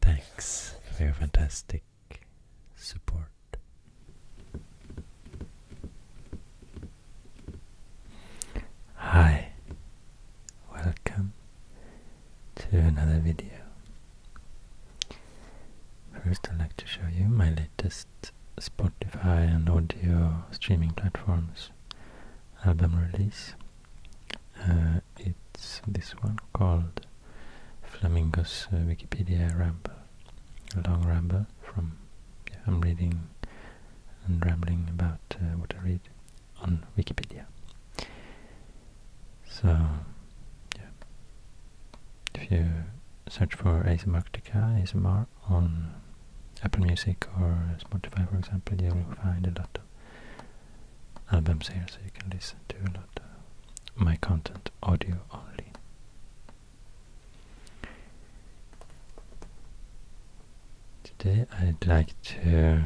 Thanks for your fantastic support. Hi, welcome to another video. First, I'd like to show you my latest Spotify and audio streaming platforms album release. Uh, it's this one called Flamingo's uh, Wikipedia Ramble, a long ramble from, I'm reading and rambling about uh, what I read on Wikipedia. So, yeah, if you search for ASMRtica, ASMR on Apple Music or Spotify, for example, you will find a lot of albums here, so you can listen to a lot of uh, my content audio only. Today I'd like to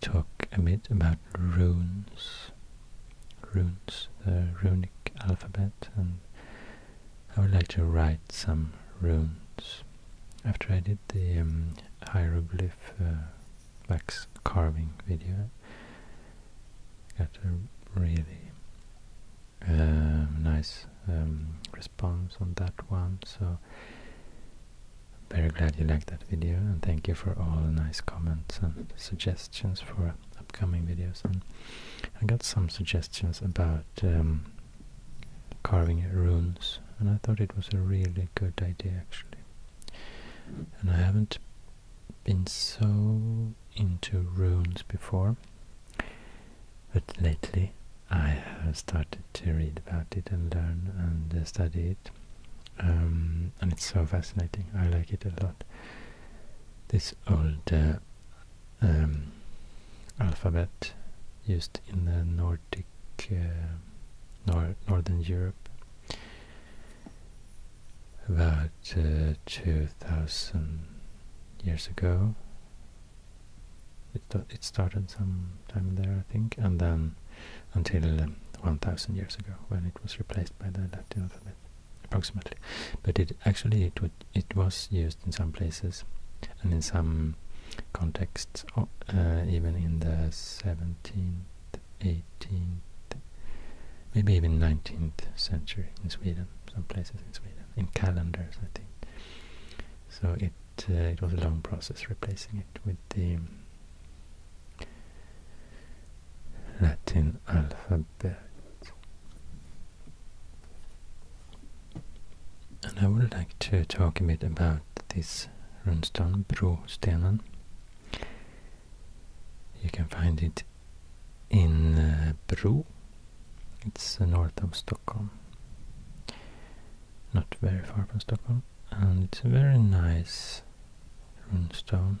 talk a bit about runes, runes, the runic alphabet, and I would like to write some runes after I did the um, hieroglyph uh, wax carving video, I got a really um, nice um, response on that one. So very glad you liked that video, and thank you for all the nice comments and suggestions for upcoming videos. And I got some suggestions about carving runes and I thought it was a really good idea actually and I haven't been so into runes before but lately I have started to read about it and learn and uh, study it um, and it's so fascinating I like it a lot this old uh, um, alphabet used in the Nordic uh, nor Northern Europe. About uh, 2000 years ago, it, it started sometime there, I think, and then until 1000 years ago when it was replaced by the Latin alphabet, approximately. But it actually it, would, it was used in some places and in some contexts Oh, uh, even in the 17th, 18th, maybe even 19th century in Sweden, some places in Sweden, in calendars, I think. So it uh, it was a long process replacing it with the Latin alphabet. And I would like to talk a bit about this runestone, Brostenen. You can find it in uh, It's uh, north of Stockholm. Not very far from Stockholm. And it's a very nice runestone.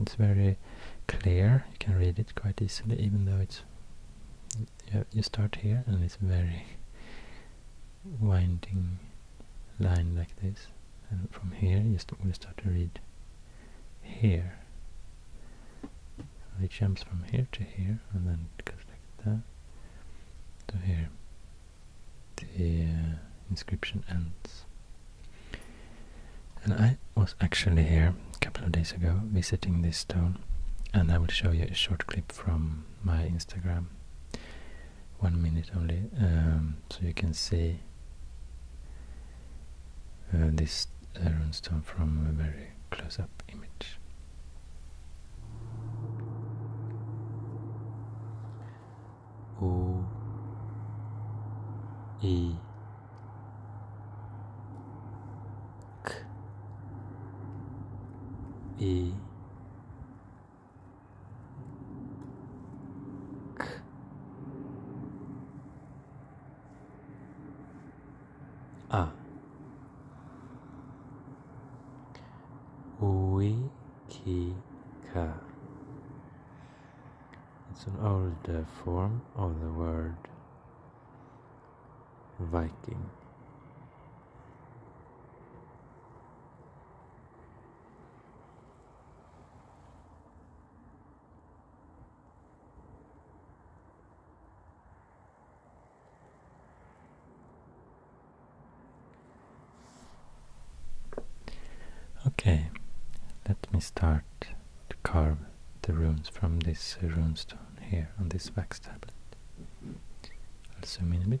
It's very clear. You can read it quite easily even though it's you start here and it's very winding line like this and from here you st will start to read here it jumps from here to here and then it goes like that to here the uh, inscription ends and I was actually here a couple of days ago visiting this stone and I will show you a short clip from my Instagram one minute only um, so you can see uh, this uh, runestone from a very close-up image O E K E à ah. Uikika. It's an old form of the word Viking. Okay, let me start to carve the runes from this uh, rune stone here on this wax tablet. I'll zoom in a bit.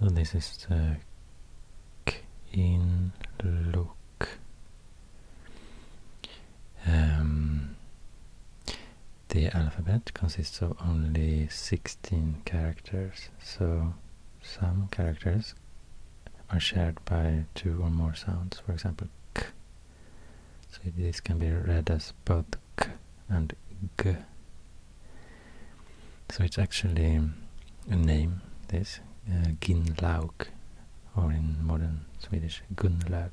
So this is the in look. Um, the alphabet consists of only 16 characters, so some characters are shared by two or more sounds, for example, k. So this can be read as both k and g. So it's actually a name, this, uh, or in modern Swedish, Gunlaug.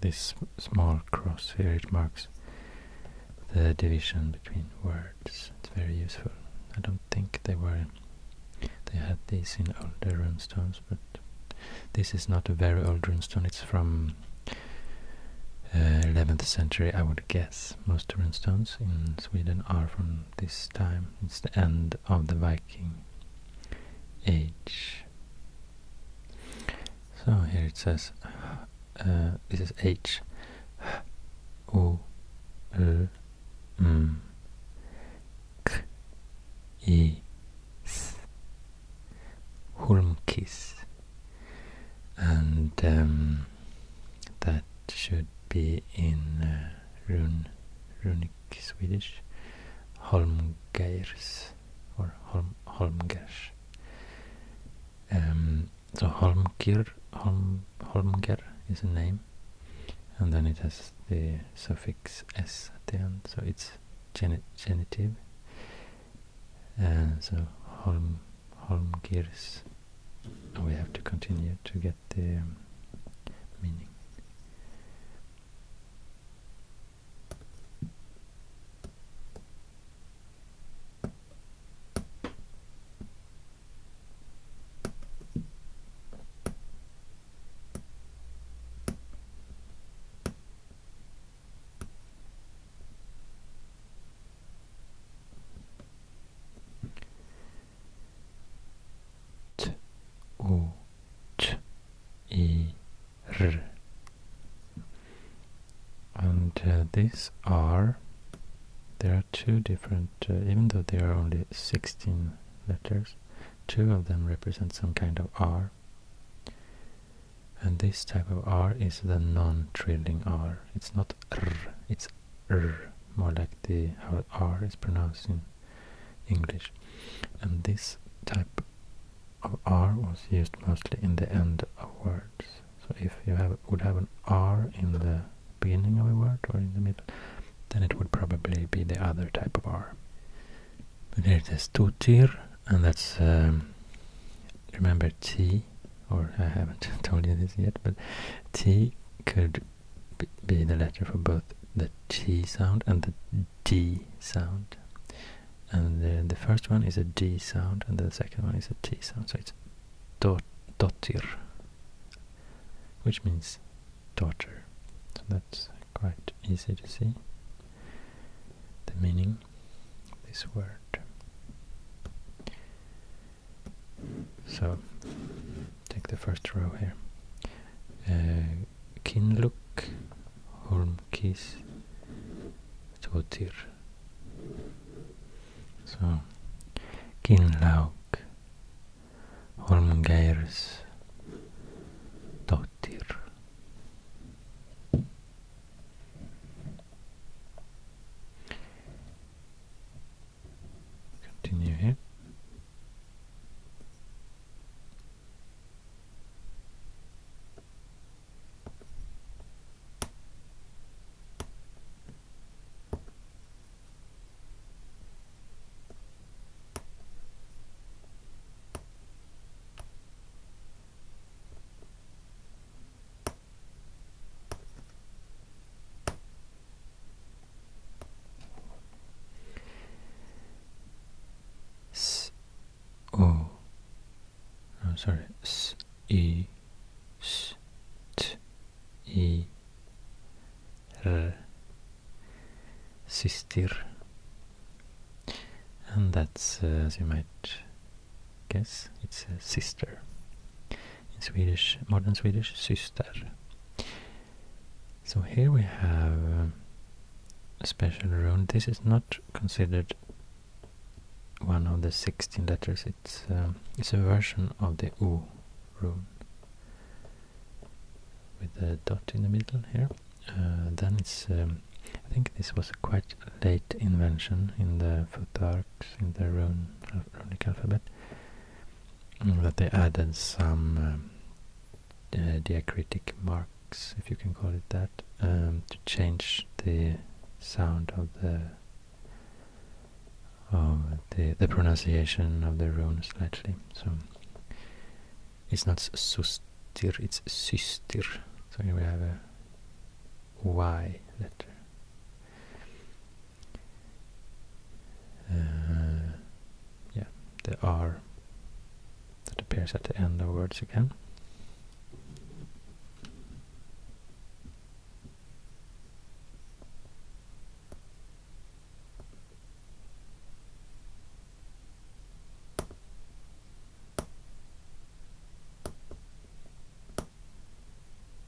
This small cross here, it marks the division between words. It's very useful. I don't think they were they had these in older stones, but this is not a very old stone. It's from 11th uh, century, I would guess. Yes, most stones in Sweden are from this time. It's the end of the Viking Age. So here it says, uh, this is H, O, L, M, K, I, S, Hulmkis. And um, that should be in uh, runic Swedish, Holmgeirs or Holm, Holmgers. Um, so Holmgir, Holm, Holmger is a name, and then it has the suffix s at the end, so it's genitive. Uh, so Holm, Home gears. We have to continue to get the um, meaning t o t e r and uh, these are there are two different uh, even though there are only 16 letters two of them represent some kind of r and this type of r is the non-trilling r it's not r it's r more like the R is pronounced in English. And this type of R was used mostly in the end of words. So if you would have an R in the beginning of a word or in the middle, then it would probably be the other type of R. But here it is tutir, and that's um, remember T, or I haven't told you this yet, but T could be the letter for both the T sound and the D sound. And the first one is a D sound and the second one is a T sound. So it's dot dotir, which means daughter. So that's quite easy to see the meaning of this word. So take the first row here. Uh, Kinluk, Holmkis, Totir. So Kinlaug, Holmgeirs, Totir. Continue here. S O I'm sorry S E S T E R sister. and that's uh, as you might guess it's sister in Swedish, modern Swedish, syster. So here we have uh, a special rune. This is not considered one of the 16 letters, it's, um, it's a version of the U rune with a dot in the middle here. Uh, then it's, um, I think this was a quite late invention in the Futharks, in the rune, runic alphabet that they added some um, diacritic marks, if you can call it that, um, to change the sound of the of the the pronunciation of the rune slightly. So it's not sustir, it's systir. So here we have a y letter. Uh, yeah, the R that appears at the end of words again.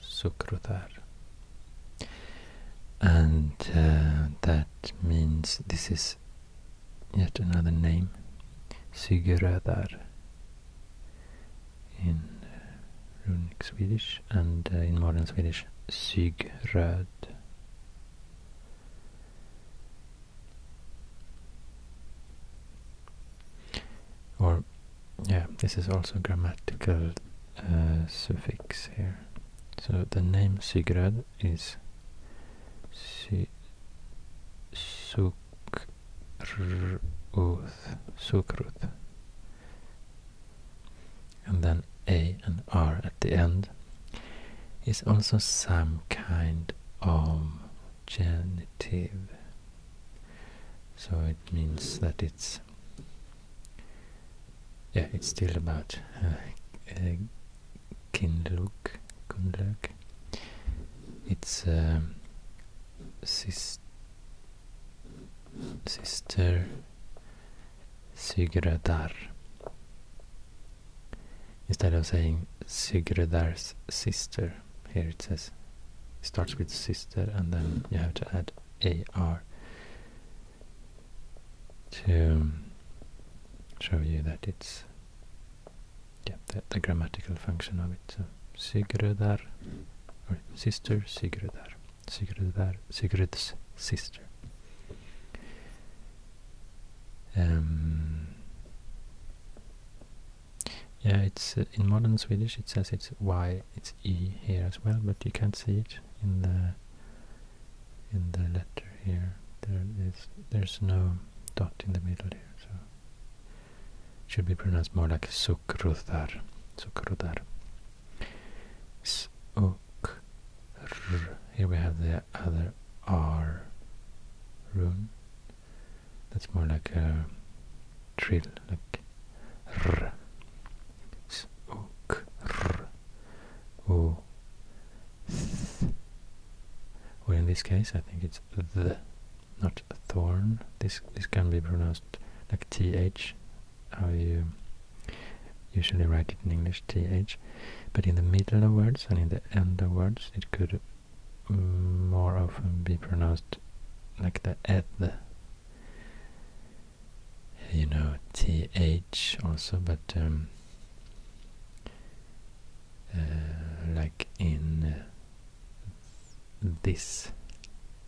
Sukrutar. And uh, that means this is yet another name, Sigurödar in uh, runic Swedish and uh, in modern Swedish Sigröd. Or yeah, this is also grammatical uh, suffix here. So the name Sigurd is si Sukruth, Sukruth. And then A and R at the end is also some kind of genitive so it means that it's yeah it's still about uh, uh, Kinluk, Kunluk. It's um, sister Sigurdar. Instead of saying Sigurdar's sister, here it says it starts with sister and then you have to add AR to show you that it's yeah, the, grammatical function of it. So Sigrudar or sister Sigrudar. Sigrudar Sigrud's sister. Um, yeah, it's uh, in modern Swedish. It says it's y, it's e here as well, but you can't see it in the in the letter here. There is there's no dot in the middle here, so it should be pronounced more like sukrudar, sukrudar. Suk. Here we have the other r rune. That's more like a trill, like r, s, o, k, r, o, Well, in this case, I think it's the, not thorn. This this can be pronounced like th. How usually write it in English, th. But in the middle of words and in the end of words, it could more often be pronounced like the eth you know, th also, but um, uh, like in uh, this,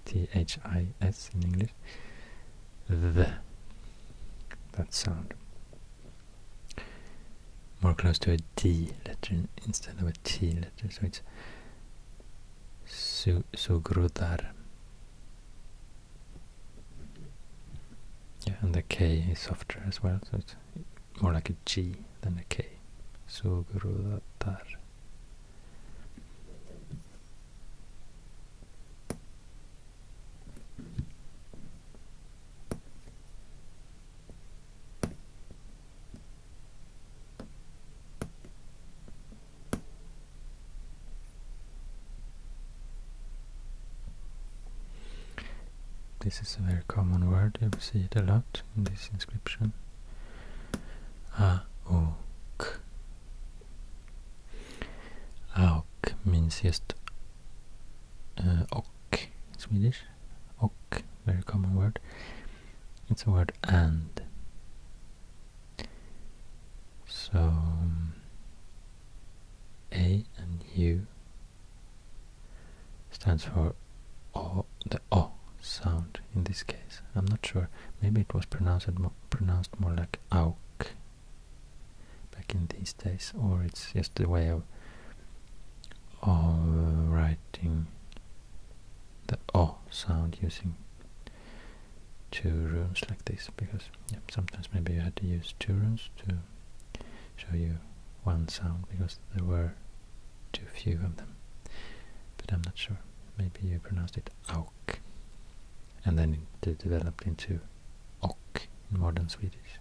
th is in English, the, that sound. More close to a D letter instead of a T letter, so it's su sugrudar. Yeah, and the K is softer as well, so it's more like a G than a K. Sugrudar. This is a very common word, you see it a lot in this inscription. Auk. means just uh, ok in Swedish. Ok, very common word. It's a word and. So um, A and U stands for o, the O sound in this case. I'm not sure. Maybe it was pronounced pronounced more like auk back in these days, or it's just the way of of writing the O sound using two rooms like this because sometimes maybe you had to use two rooms to show you one sound because there were too few of them but I'm not sure maybe you pronounced it auk and then it developed into ok in modern Swedish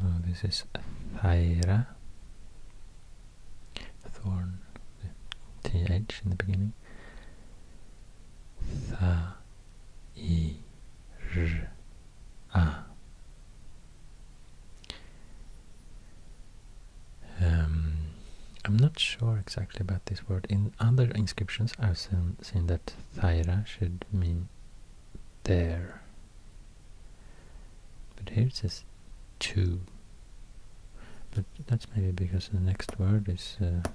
So this is Thaira thorn, th in the beginning. Tha, i, r, a. Um, I'm not sure exactly about this word. In other inscriptions, I've seen, that Thaira should mean there but here it says two. But that's maybe because the next word is uh,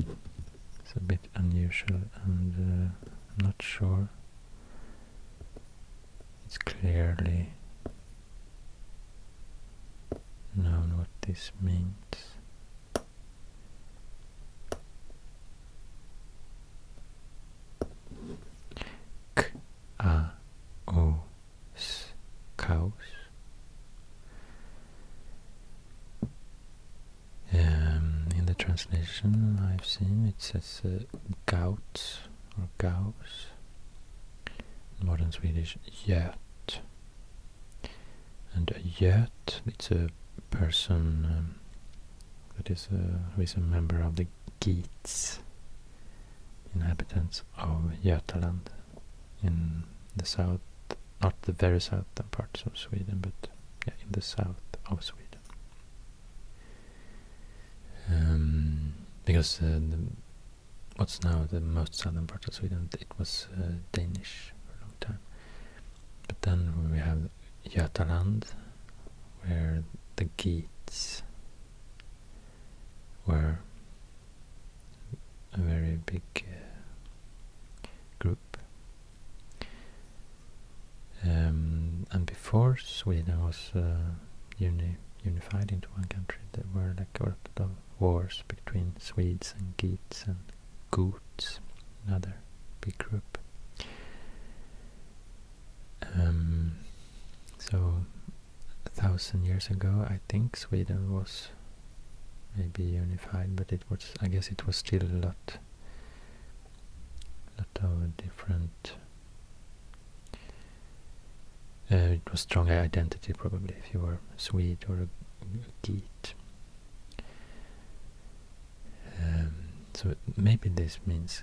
it's a bit unusual and uh, I'm not sure it's clearly known what this means. K-A-O-S, chaos. Um, in the translation I've seen it says uh, gout or gaus, modern Swedish jöt. And a it's a person um, that is a, who is a member of the Geats, inhabitants of Götaland in the south, not the very southern parts of Sweden, but in the south of Sweden. Um, because uh, what's now the most southern part of Sweden, it was uh, Danish for a long time. But then we have Götaland, where the Geats were a very big uh, group. Um, and before Sweden was uh, unified into one country, there were a lot of wars between Swedes and Geats and Goots, another big group. Um, so a thousand years ago, I think Sweden was maybe unified, but it was I guess it was still a lot, lot of different. Uh, it was strong identity probably if you were a Swede or a, a Um, so maybe this means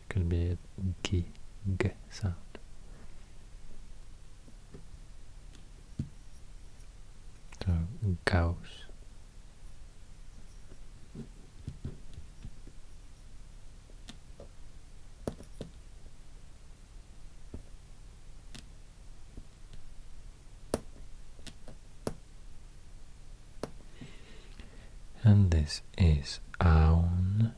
It could be a g, g sound. So and this is own.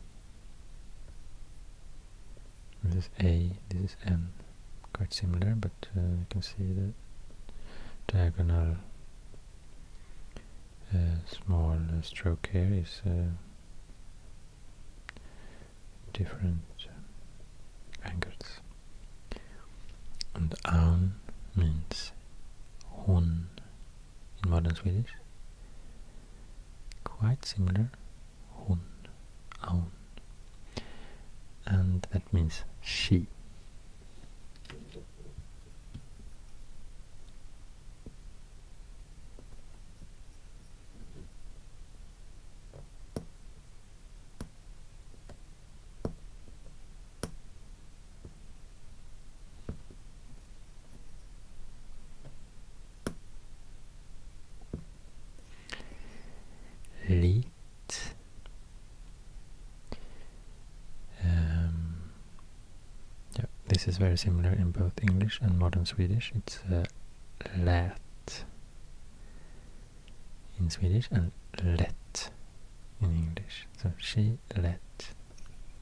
This is A, this is N. Quite similar, but uh, you can see the diagonal uh, small uh, stroke here is uh, different angles. And Aun means horn in modern Swedish quite similar, hon, aun, and that means she. Lit. Um, yeah, this is very similar in both English and modern Swedish. It's uh, lät in Swedish and "let" in English. So she let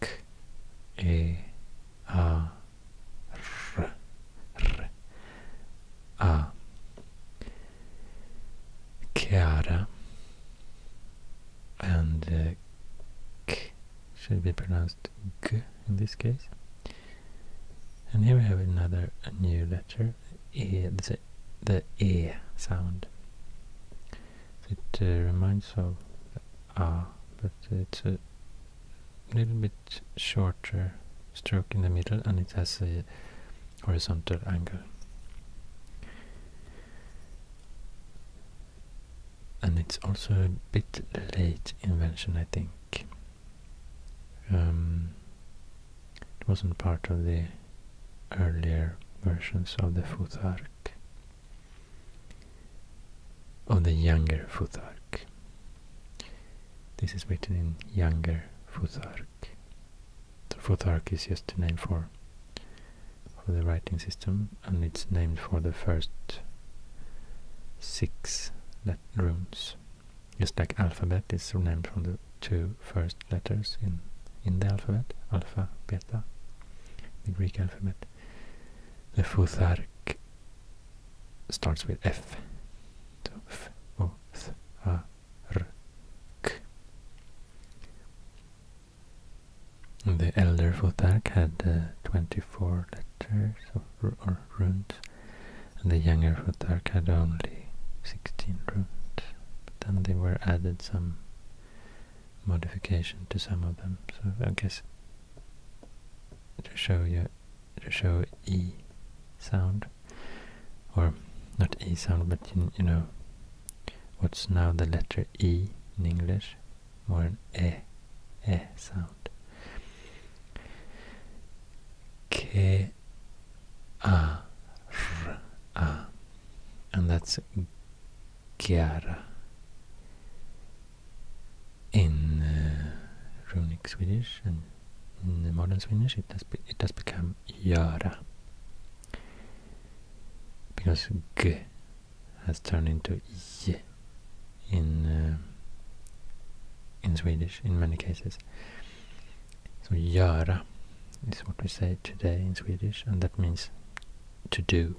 K A R R A Chiara and uh, K should be pronounced G in this case. And here we have another new letter, E, the, the E sound it uh, reminds of ah, but it's a little bit shorter stroke in the middle and it has a horizontal angle. And it's also a bit late invention, I think. Um, it wasn't part of the earlier versions of the foot Futhark of the younger Futhark. This is written in younger Futhark. The Futhark is just a name for for the writing system and it's named for the first six let runes. Just like alphabet is named from the two first letters in in the alphabet, alpha, beta, the Greek alphabet. The futhark starts with F. the elder futhark had uh, 24 letters or, runes, and the younger futhark had only 16 runes. But then they were added some modification to some of them. So I guess to show your to show e sound or not e sound, but you, you know what's now the letter e in English, more an e e sound. K a r a, and that's Chiara in eh, runic Swedish and in modern Swedish it does become Yara because G has turned into Y in eh, in Swedish in many cases so Yara is what we say today in Swedish and that means to do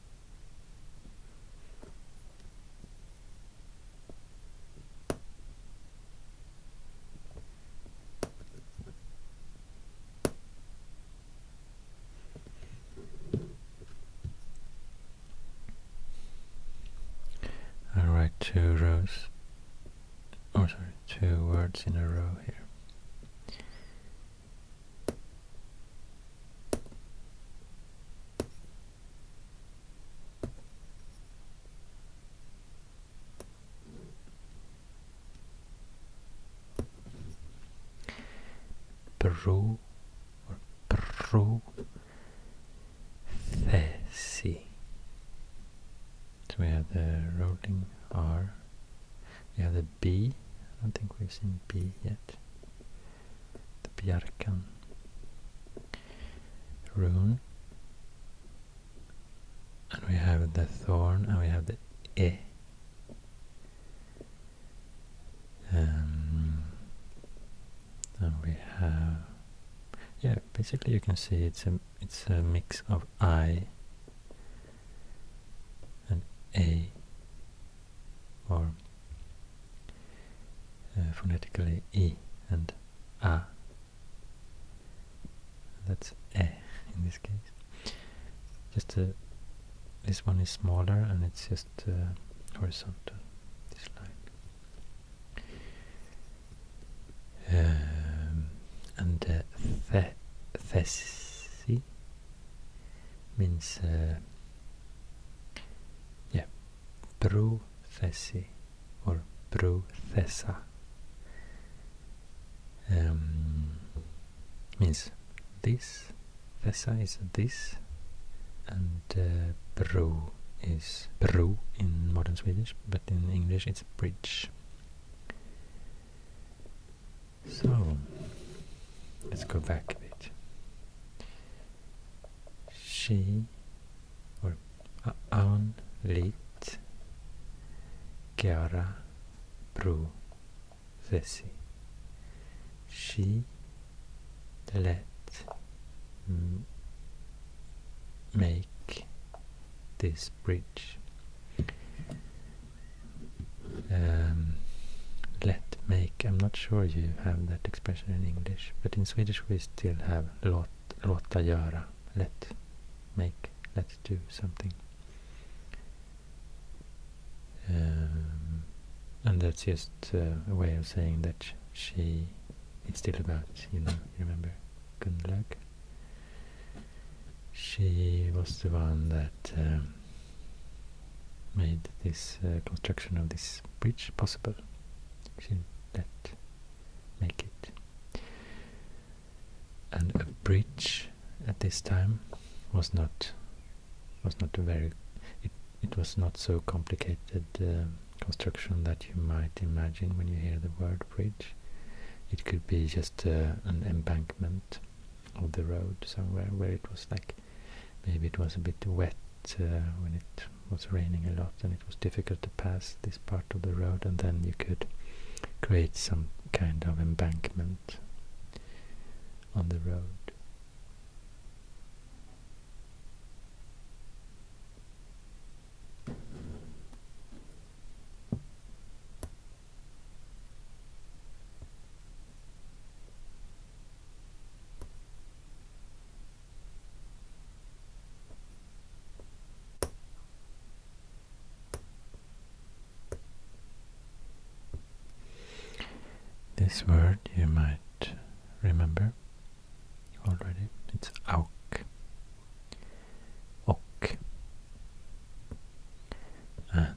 I'll write two rows, oh, sorry, two words in a row here. Pro or pro thesi. So we have the rolling R. We have the B. I don't think we've seen B yet the Bjarkan rune. And we have the thorn and we have the E. Um, and we have yeah basically you can see it's a it's a mix of I and A or uh, phonetically e and a. That's e in this case. Just uh, this one is smaller and it's just uh, horizontal. Um, and uh, the, thesi means yeah, Bruthesi or Bruthesa um, means this. Thessa is this, and uh, bro is bro in modern Swedish, but in English it's bridge. So let's go back a bit she or aon lit gera pru thesi. She let make this bridge. Um, let make. I'm not sure you have that expression in English, but in Swedish we still have låt, låta göra, let make, let do something. Um, and that's just a way of saying that she, is still about, you know, remember Gunnlaug? She was the one that um, made this uh, construction of this bridge possible. She make it. And a bridge at this time was not was not very it it was not so complicated uh, construction that you might imagine when you hear the word bridge. It could be just uh, an embankment of the road somewhere where it was like maybe it was a bit wet uh, when it was raining a lot and it was difficult to pass this part of the road and then you could create some kind of embankment on the road. This word you might remember already. It's auk. Ok. And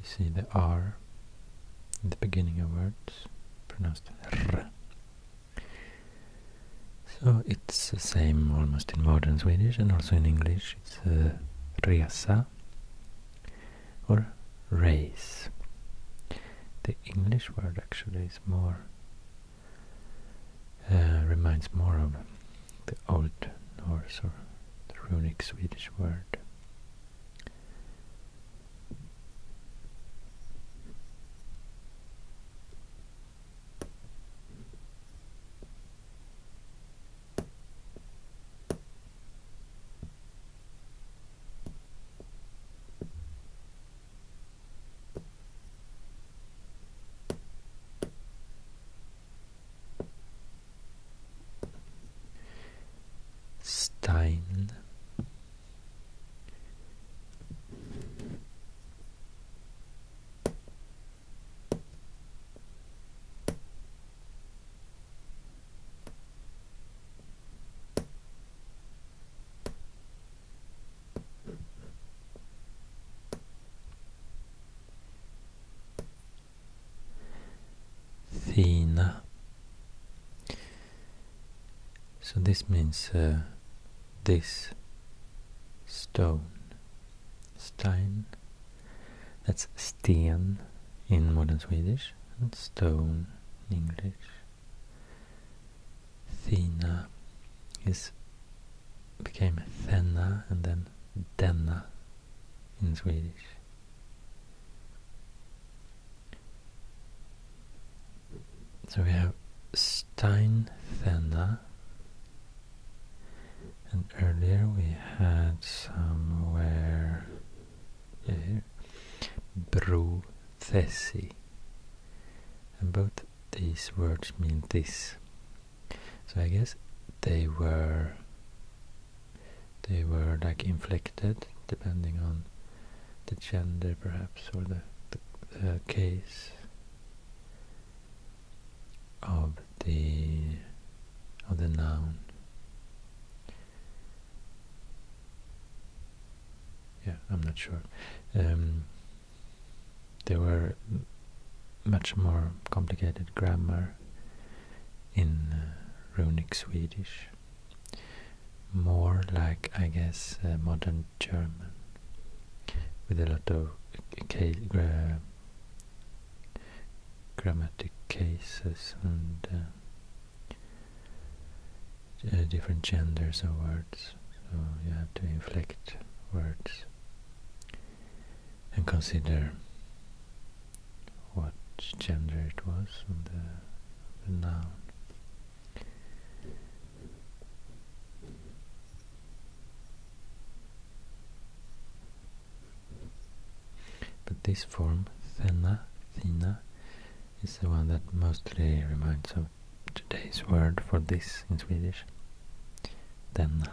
You see the R in the beginning of words, pronounced R. So it's the same almost in modern Swedish and also in English. It's uh, or race. The English word actually is more uh, reminds more of the old Norse or the runic Swedish word. Stein Fina. So this means uh, this stone. Stein. That's sten in modern Swedish and stone in English. Fina is became Fenna and then denna in Swedish. So we have Steinfenda, and earlier we had somewhere yeah, here Brothesi, and both these words mean this. So I guess they were they were like inflicted, depending on the gender perhaps or the, the case of the of the noun yeah I'm not sure um, there were much more complicated grammar in uh, runic Swedish, more like I guess uh, modern German, with a lot of gra grammatic cases and uh, different genders of words, so you have to inflect words and consider what gender it was on the, noun. But this form, thena, thina, is the one that mostly reminds of today's word for this in Swedish, denna.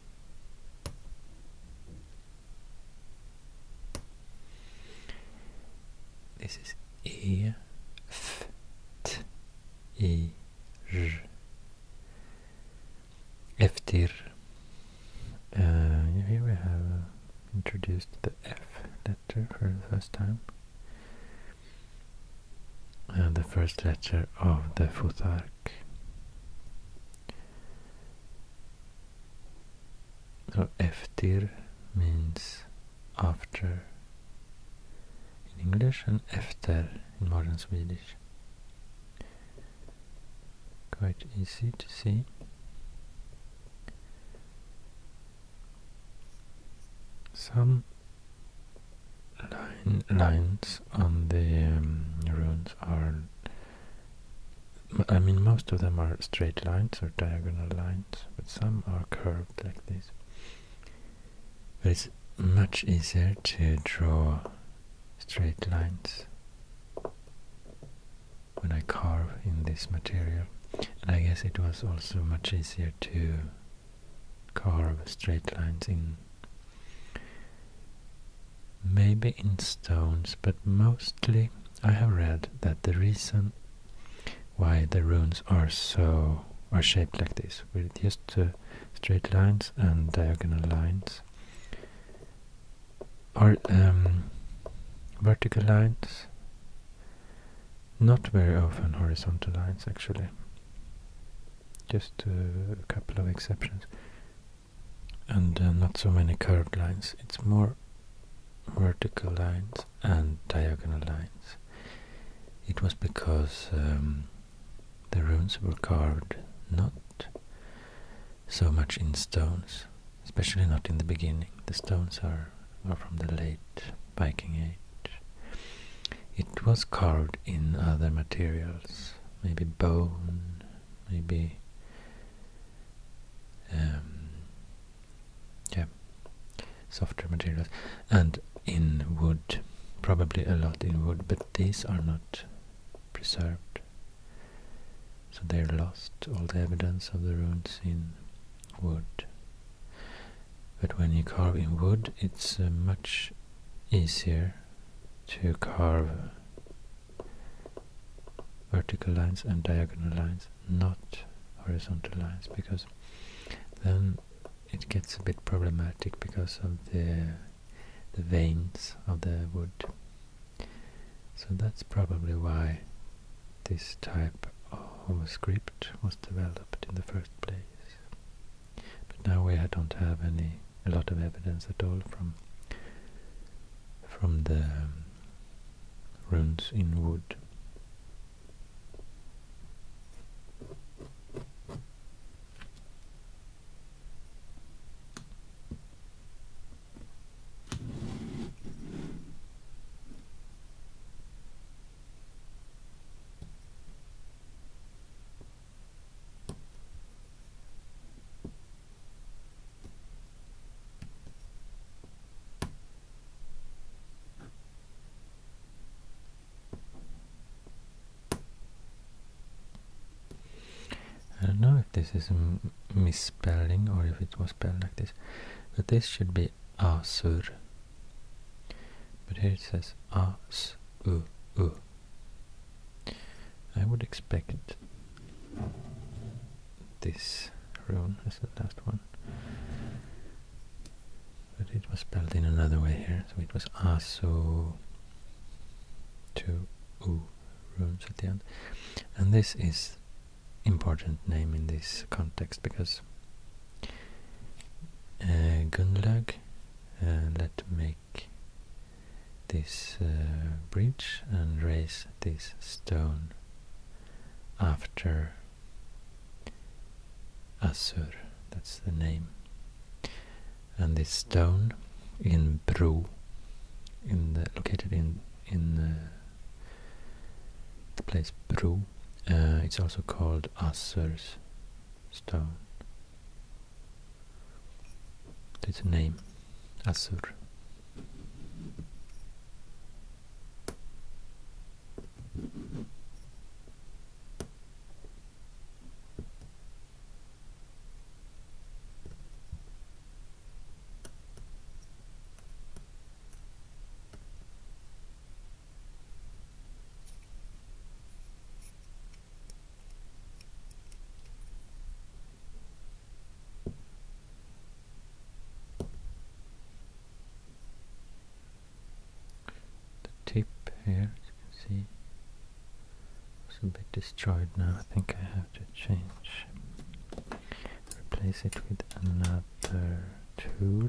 This is E F T I R Eftir. Uh, here we have uh, introduced the F letter for the first time and the first letter of the futark. So eftir means after in English and efter in modern Swedish. Quite easy to see. Some lines on the um, runes are I mean most of them are straight lines or diagonal lines but some are curved like this but it's much easier to draw straight lines when I carve in this material and I guess it was also much easier to carve straight lines in Maybe in stones, but mostly I have read that the reason why the runes are so are shaped like this, with just straight lines and diagonal lines, or um, vertical lines, not very often horizontal lines actually just uh, a couple of exceptions and uh, not so many curved lines it's more vertical lines and diagonal lines it was because um, the runes were carved not so much in stones especially not in the beginning the stones are, are from the late Viking age it was carved in other materials maybe bone, maybe um, yeah, softer materials, and in wood, probably a lot in wood, but these are not preserved, so they're lost. All the evidence of the runes in wood. But when you carve in wood, it's uh, much easier to carve vertical lines and diagonal lines, not horizontal lines, because then it gets a bit problematic because of the the veins of the wood. So that's probably why this type of script was developed in the first place. But now we don't have any a lot of evidence at all from from the um, runes in wood. I don't know if this is a misspelling or if it was spelled like this, but this should be Asur. But here it says Asur. I would expect this rune as the last one. But it was spelled in another way here, so it was Aso two U runes at the end. And this is important name in this context because uh, Gunlag uh, let me this uh, bridge and raise this stone after Assur, that's the name. And this stone in Bru, in the, located in in uh, the place Bru, uh, it's also called Assur's stone. Its name, Asur. The tip here, as you can see, was a bit destroyed now. I think I have to change, replace it with another tool. You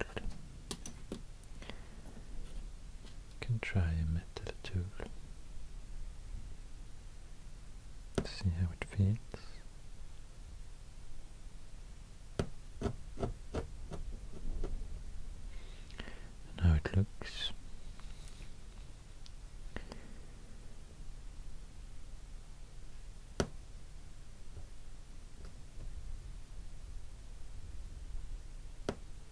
can try a metal tool see how it fits. how it looks.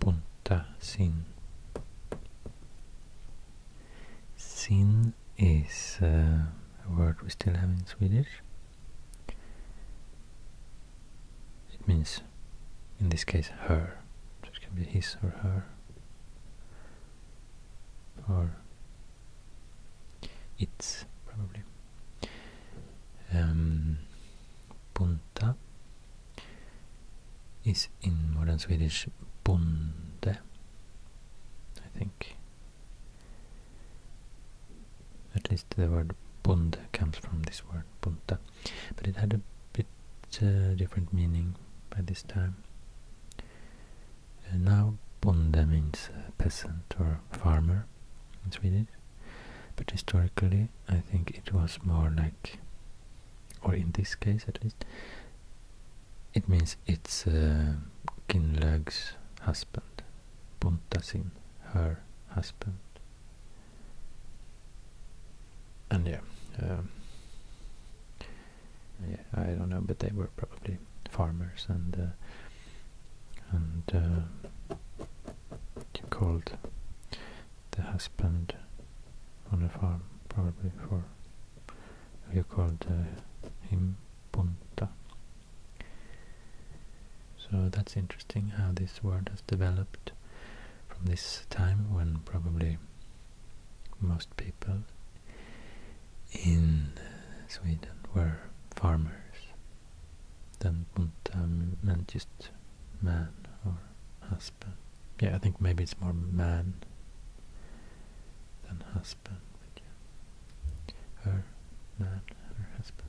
Punta sin is uh, a word we still have in Swedish. It means, in this case, her. So it can be his or her or it's probably um, Punta is in modern Swedish bonde, I think. At least the word bonde comes from this word punta but it had a bit uh, different meaning by this time. now bonde means uh, peasant or farmer in Swedish, but historically I think it was more like, or in this case at least, it means it's uh, Kinlög's husband, Buntasin, her husband and yeah, um, yeah, I don't know, but they were probably farmers and uh, and uh, called the husband on a farm probably for you called uh, him punta. So that's interesting how this word has developed from this time when probably most people in Sweden were farmers. Then Buntam meant just man or husband. Yeah, I think maybe it's more man than husband. yeah. Her, man, her husband.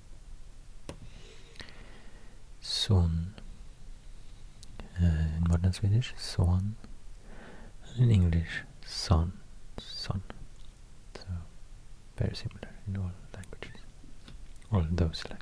Son. Eh, in modern Swedish, son. And in English, son. Son. So, very similar in all languages. All those languages.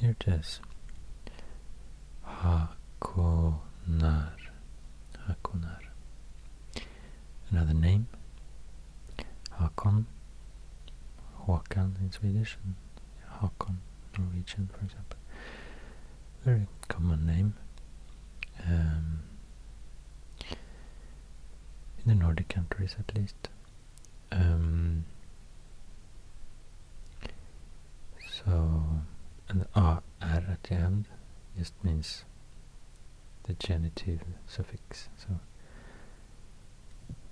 Here it is. Hakonar. Hakonar. Another name. Hakon. Håkan in Swedish and Hakon Norwegian for example very common name. Um, in the Nordic countries at least. Um, so, and R at the end just means the genitive suffix. So,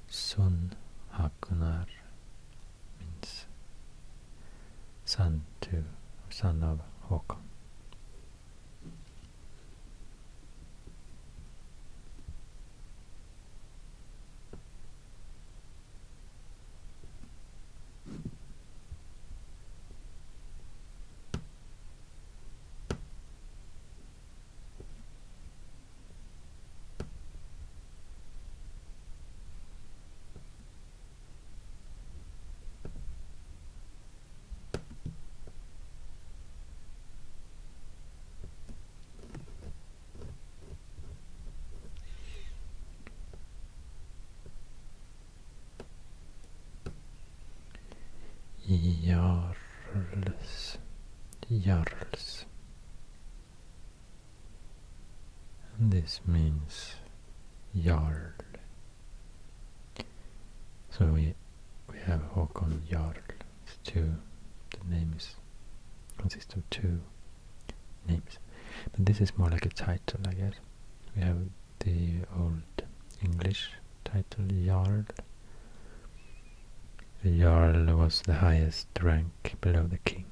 Sun Hakunar means son to son of Håkon. Jarls. Jarls. And this means Jarl. So we we have hokon Jarl. It's two. The name is consists of two names, but this is more like a title, I guess. We have the old English title Jarl. Jarl was the highest rank below the king.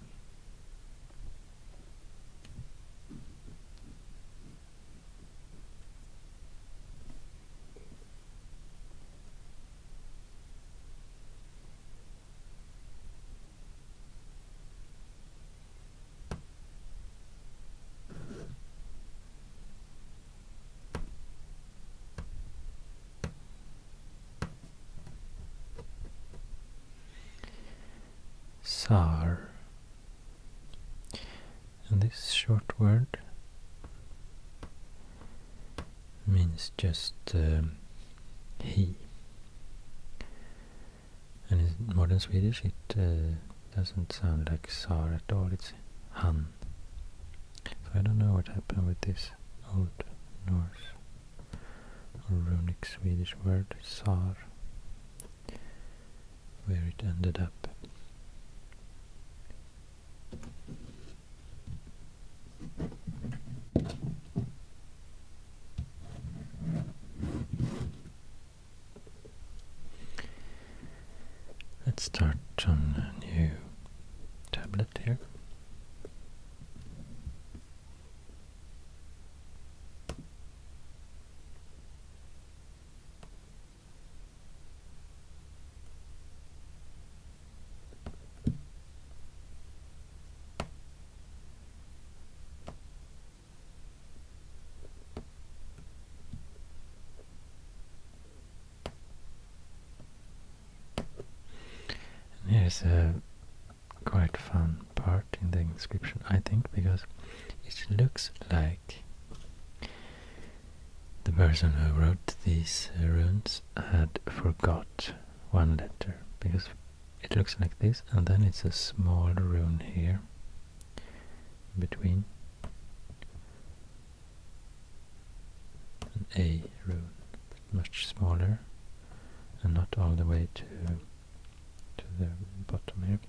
Sar and this short word means just um, he. And in modern Swedish it uh, doesn't sound like Sar at all, it's Han. So I don't know what happened with this old Norse or runic Swedish word, Sar where it ended up. Let's start on a new tablet here. And here's a uh, quite fun part in the inscription, I think, because it looks like the person who wrote these uh, runes had forgot one letter, because it looks like this, and then it's a small rune here, between an A rune, much smaller, and not all the way to to the bottom here.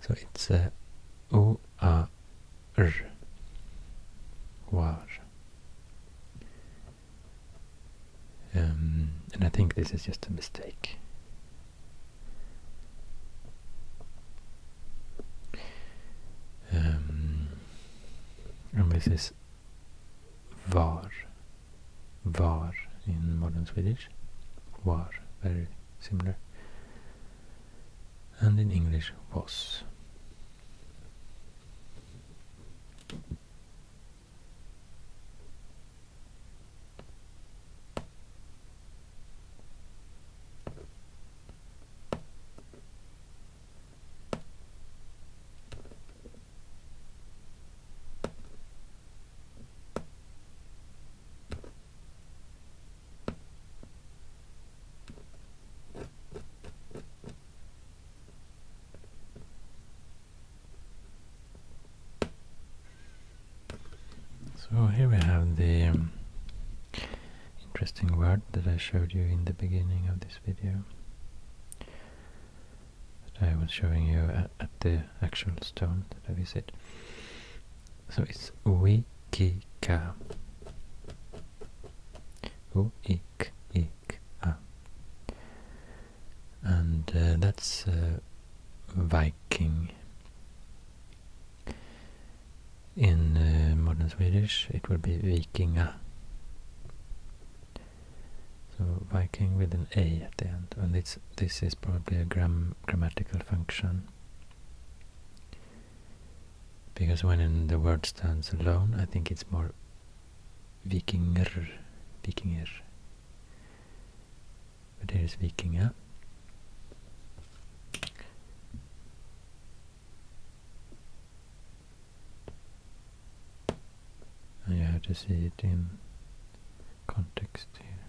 So it's uh, o a r um, and I think this is just a mistake. Um, and this is var, var in modern Swedish, var, very similar. And in English, was. So here we have the um, interesting word that I showed you in the beginning of this video that I was showing you uh, at, the actual stone that we visit so it's wikika and uh, that's uh, viking in uh, modern swedish it would be vikinga so viking with an a at the end and it's this is probably a grammatical function because when the word stands alone, I think it's more vikingr, vikingr. But here is vikinga. And you have to see it in context here.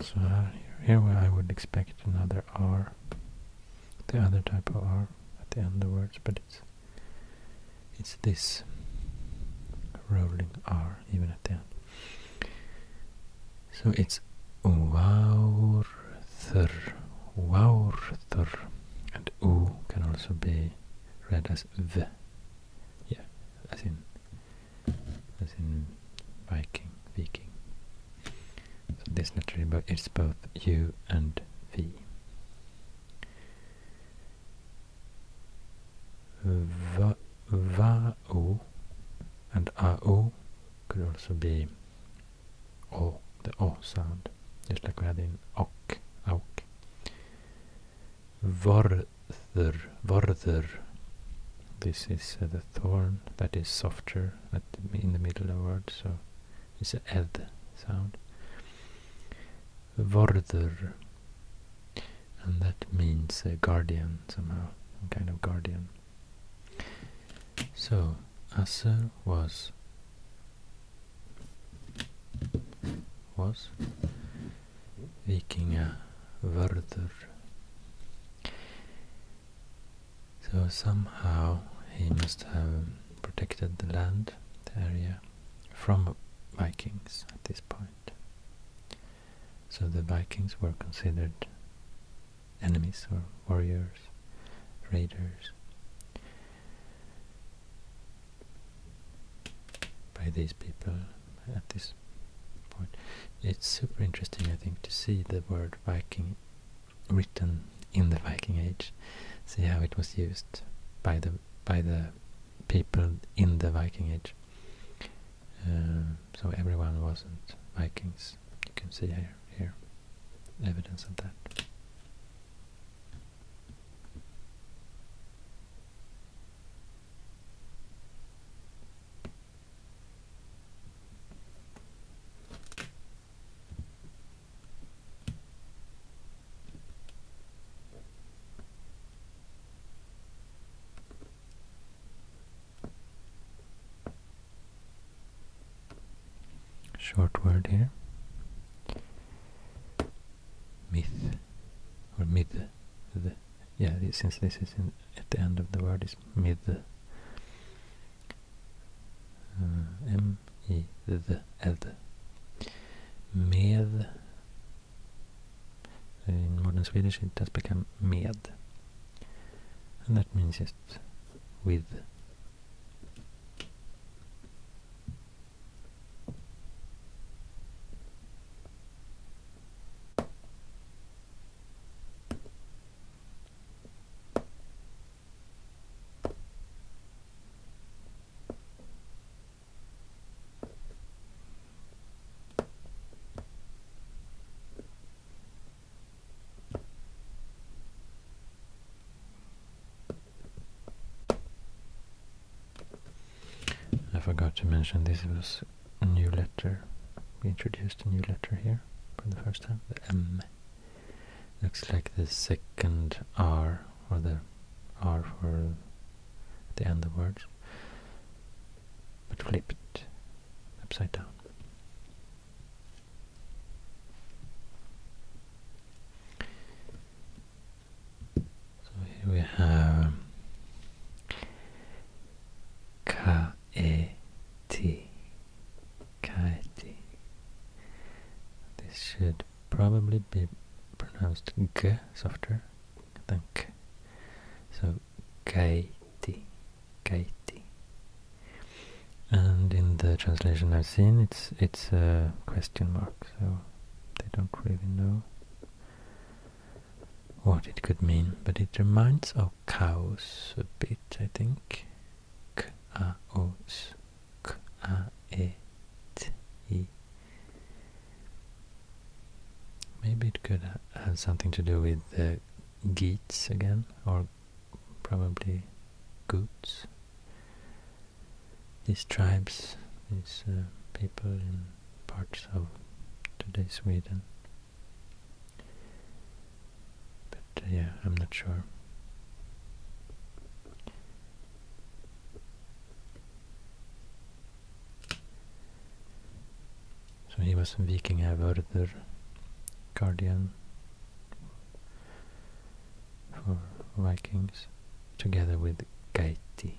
So uh, here I would expect another R, the other type of R at the end of words, but it's it's this rolling R even at the end. So it's Waurthr, Waurthr, and U can also be read as V, yeah, as in as in Viking, Viking. So this but it's both u and v. Va, vao and ao could also be o, the o sound, just like we had in ok, auk. Varther, varther. This is uh, the thorn that is softer in the middle of the word, so it's a ed sound. Vorder, and that means a guardian somehow, kind of guardian. So, Aser was was Vikinga Vörður so somehow he must have protected the land, the area, from Vikings at this point. So the Vikings were considered enemies or warriors, raiders by these people at this point. It's super interesting I think to see the word Viking written in the Viking Age. See how it was used by the by the people in the Viking Age. Uh, so everyone wasn't Vikings. You can see here here evidence of that short word here myth or mid the yeah since this is in, at the end of the word is mid M i med in eh, modern Swedish it has become med and that means just with I forgot to mention this was a new letter. We introduced a new letter here for the first time, the M. Looks like the second R, or the R for the end of words, but flipped, upside down. So here we have ka K-A-T. Kaeti. This should probably be pronounced G softer I think. So Kaeti. Kaeti. And in the translation I've seen it's it's a question mark, so they don't really know what it could mean, but it reminds of cows a bit, I think kaos maybe it could have something to do with the geats again or probably goots these tribes these uh, people in parts of today's Sweden but uh, yeah, I'm not sure. So Så han var en vikingavörder, guardian for Vikings, together with Gaiti.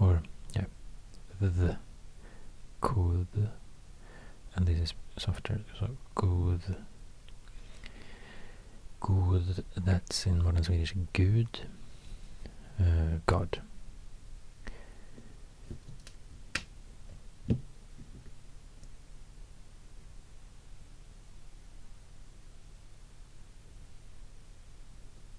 or yeah, the could, and this is softer, so good, good. That's in modern Swedish, Good. uh, God.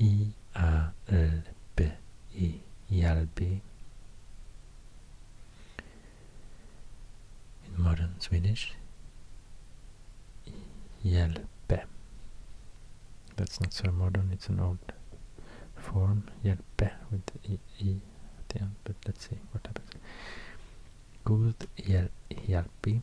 I-A-L-B, Hjalpi. In modern Swedish, Hjelpe. That's not so modern, it's an old form, Hjelpe, with e, at the end, but let's see what happens. God hjäl Hjalpi.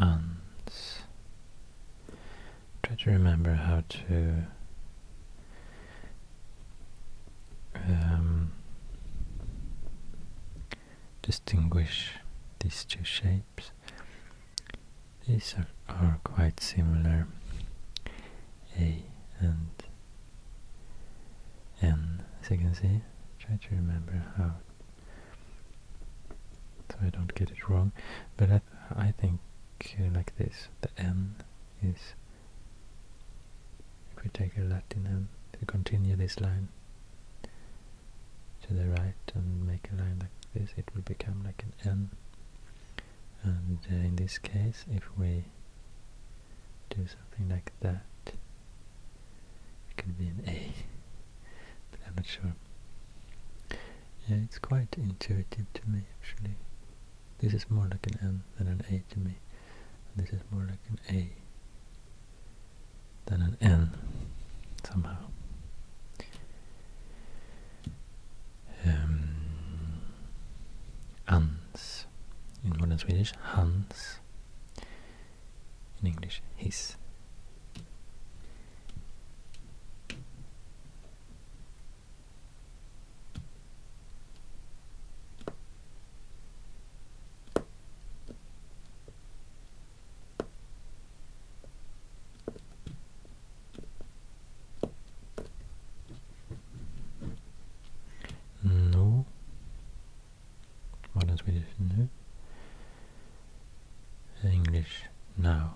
ants. Try to remember how to um, distinguish these two shapes. These are, are quite similar, A and N, as you can see. Try to remember how so I don't get it wrong. But I, think uh, like this, the N is, if we take a Latin N, we continue this line to the right and make a line like this, it will become like an N. And uh, in this case, if we do something like that, it could be an A, but I'm not sure. Yeah, it's quite intuitive to me actually. This is more like an N than an A to me. this is more like an A than an N somehow. Um, in modern Swedish, Hans in English, his. No, Modern Swedish, no. English, now.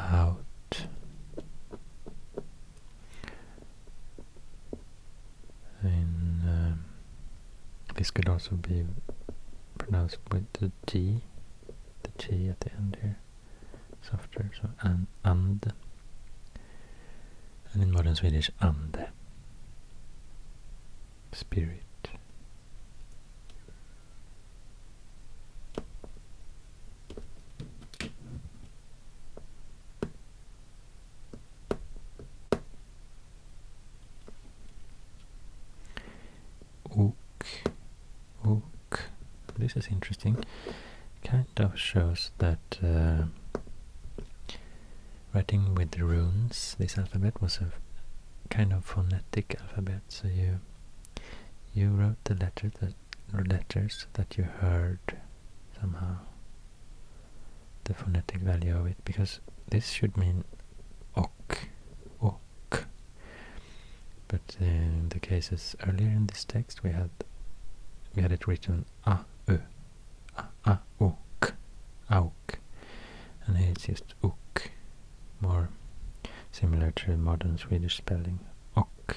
out and um, this could also be pronounced with the T, the G at the end here, softer, so an, and, and in modern Swedish, ande, spirit. Ook, oak. This is interesting. Kind of shows that uh, writing with the runes, this alphabet was a kind of phonetic alphabet. So you you wrote the letter that letters that you heard somehow the phonetic value of it because this should mean ok, ok. But in the cases earlier in this text, we had we had it written "a "a a ö, a a ok, auk, and here it's just uk, more similar to modern Swedish spelling ok.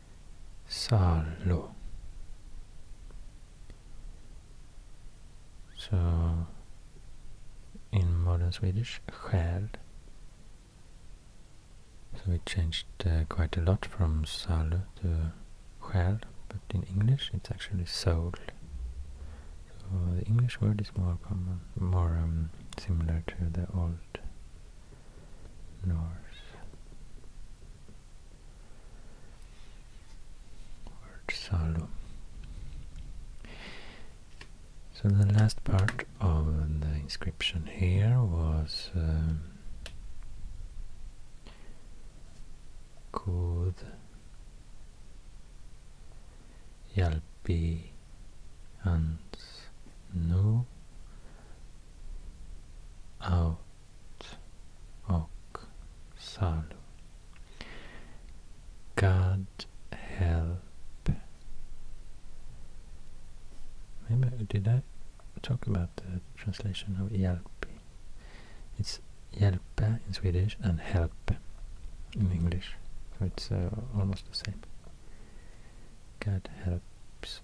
Sallo. So in modern Swedish, själ. So it changed uh, quite a lot from salu to själ, but in English it's actually soul. So the English word is more common, more um, similar to the old Norse salu. So the last part of the inscription here was um, Kud Yalpi and Nu Au God help. Maybe did I talk about the translation of hjälp? It's hjälpa in Swedish and help in English. So it's uh, almost the same. God helps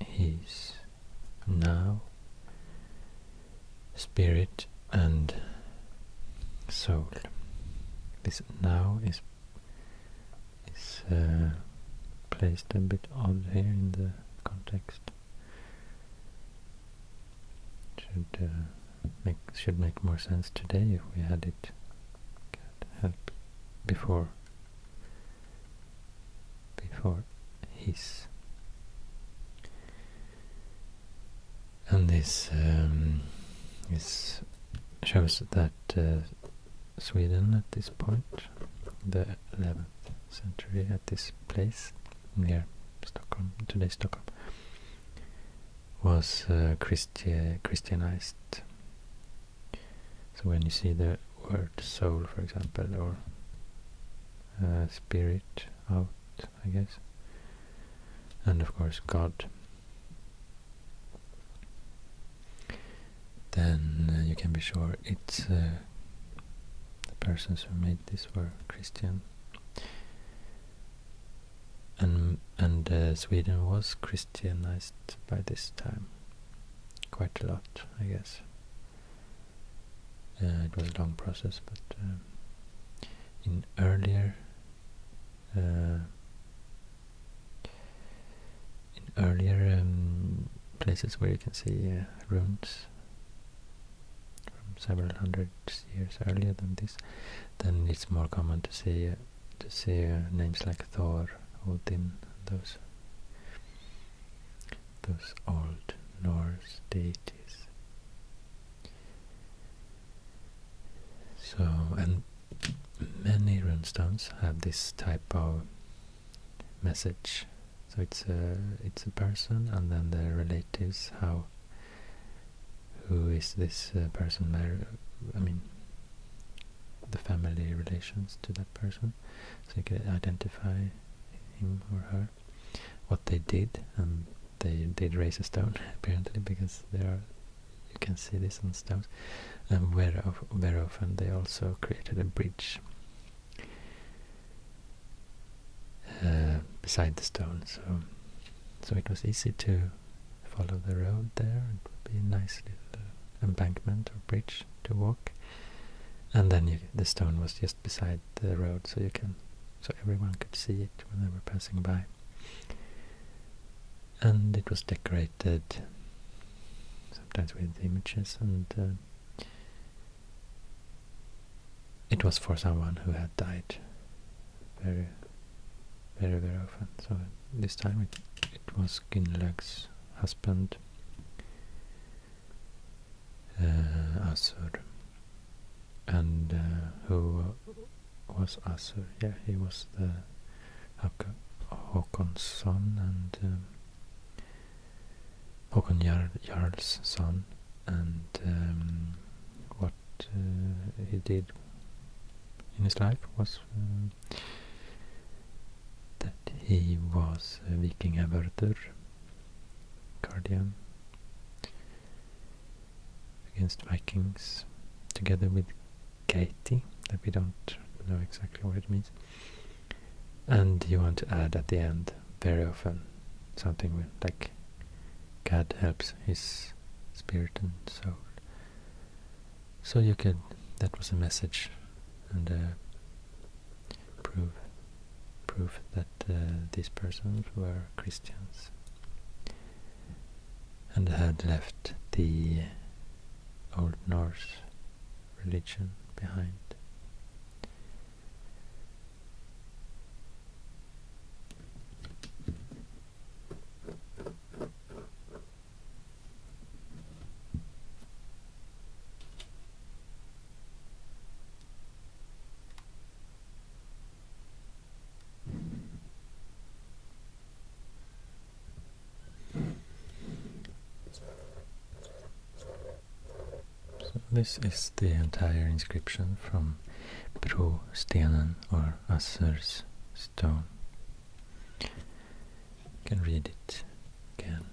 his now spirit and soul this now is is uh, placed a bit odd here in the context should uh, make should make more sense today if we had it before before his. And this um, shows that uh, Sweden at this point, the 11th century, at this place near Stockholm, today Stockholm, was uh, Christianized. So when you see the word soul, for example, or uh, spirit out, I guess. And of course, God. Then uh, you can be sure it's uh, the persons who made this were Christian. And, and Sweden was Christianized by this time, quite a lot, I guess. Uh, it was a long process, but um, in earlier uh, in earlier um, places where you can see uh, ruins from several hundred years earlier than this, then it's more common to see to see names like Thor, Odin, those those old Norse deities. So, and many runestones have this type of message. So it's a it's a person, and then the relatives. How who is this uh, person? I mean, the family relations to that person, so you can identify him or her what they did, and they did raise a stone apparently because there you can see this on stones, and very, of, very often they also created a bridge uh, beside the stone, so so it was easy to follow the road there. It would be a nice little uh, embankment or bridge to walk, and then the stone was just beside the road so you can so everyone could see it when they were passing by and it was decorated sometimes with images and uh, it was for someone who had died very very very often so this time it, it was Gunnlaug's husband uh, Asur and uh, who was Asur? Yeah, he was the Hak Håkon's son and um, Håkon Jarl's son and um, what uh, he did in his life was um, that he was a Viking averter Guardian against Vikings together with Katie that we don't know exactly what it means and you want to add at the end very often something like God helps his spirit and soul so you could that was a message and prove proof that uh, these persons were Christians and had left the Old Norse religion behind. So this is the entire inscription from Brostenen or Assur's stone. You can read it again.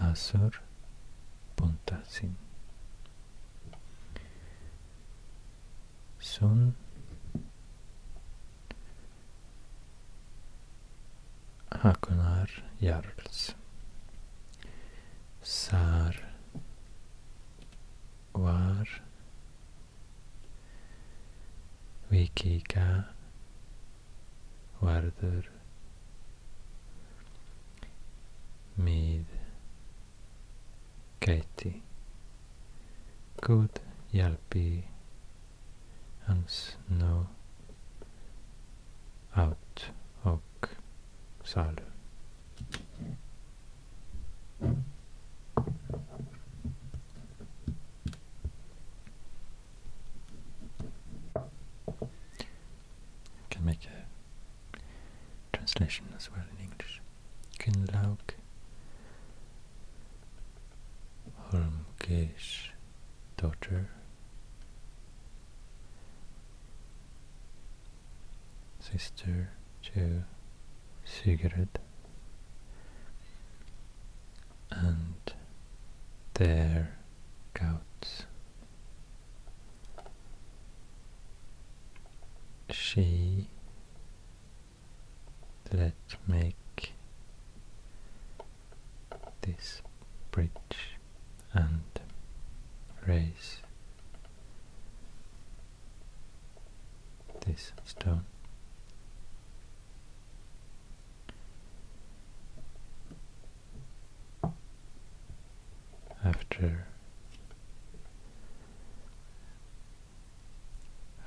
Asur Puntasin Sun Hakunar Jarls Sar Var Vikika vardır made Katie good Yalpi and Snow out och Salu. I can make a translation as well in English. Kynlaug Holmgeir's daughter. Sister to Sigrid and their goats. She let make this bridge and raise this stone after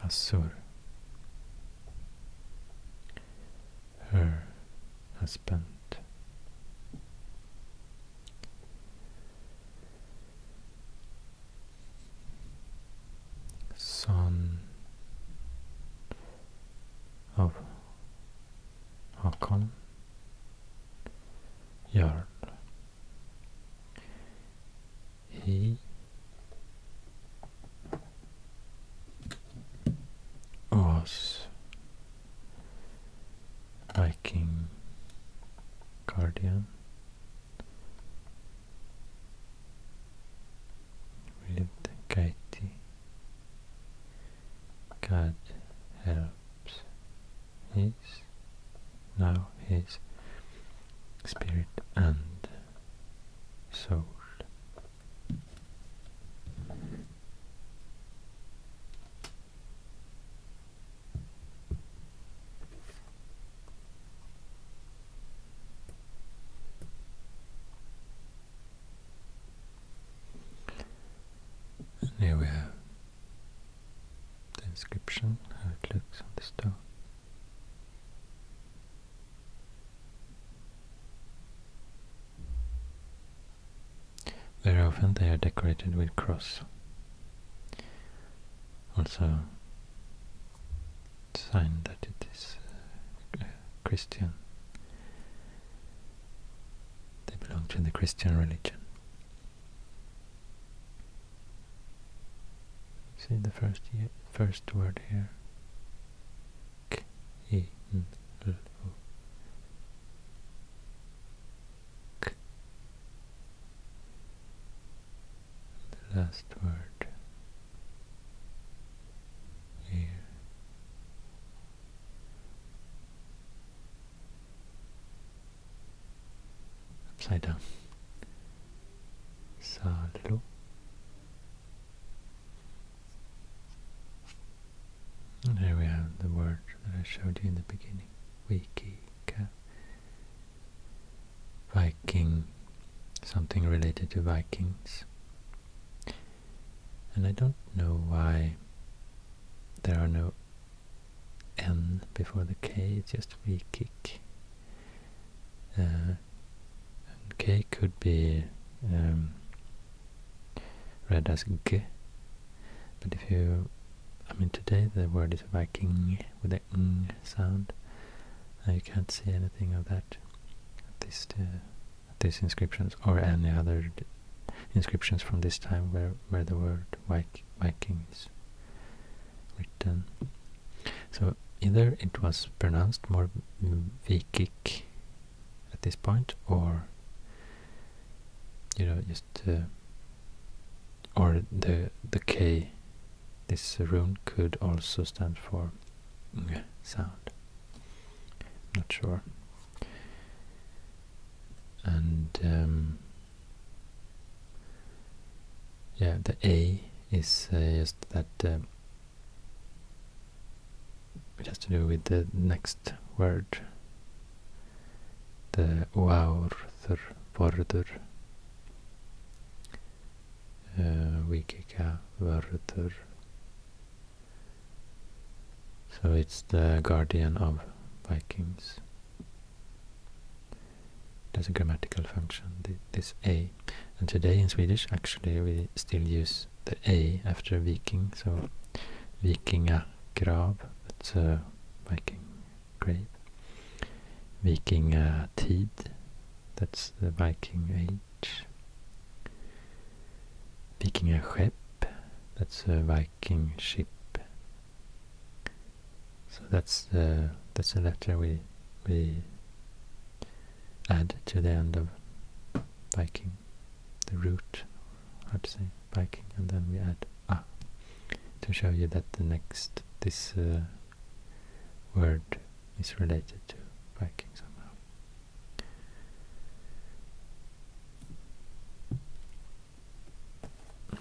Asur, her husband. Son of Håkon Jarl he was Viking guardian with Katie God helps his, now his spirit and soul. And here we have the inscription, how it looks on the stone. Very often they are decorated with cross. Also, sign that it is uh, Christian. They belong to the Christian religion. See the first first word here. K -i -n -l -o. K. The last word here upside down. Salo. And here we have the word that I showed you in the beginning. Wiki, Viking, something related to Vikings. And I don't know why there are no N before the K, it's just V-kick. Uh, K could be um, read as G, but if you, I mean today the word is Viking with the ng sound, you can't see anything of that, at least uh, these inscriptions or any other inscriptions from this time where, where the word Viking is written. So either it was pronounced more Vikik at this point or you know just uh, or the the K this rune could also stand for sound. Not sure and um, yeah the A is uh, just that uh, it has to do with the next word the Oaurther Vordur Vikika uh, Vörður so it's the guardian of Vikings. There's a grammatical function, this a. And today in Swedish, actually, we still use the a after viking, so vikingagrav, that's a viking grave. Vikingatid, that's the viking age. Vikingaskepp, that's a Viking ship. So that's the that's the letter we we add to the end of Viking, the root, how to say Viking, and then we add ah, to show you that the next this uh, word is related to Viking somehow.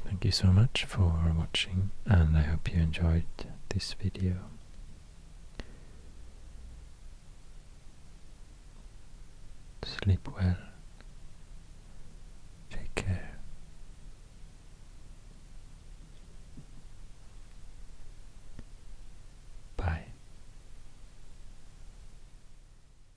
Thank you so much for watching and I hope you enjoyed this video. Sleep well. Take care. Bye.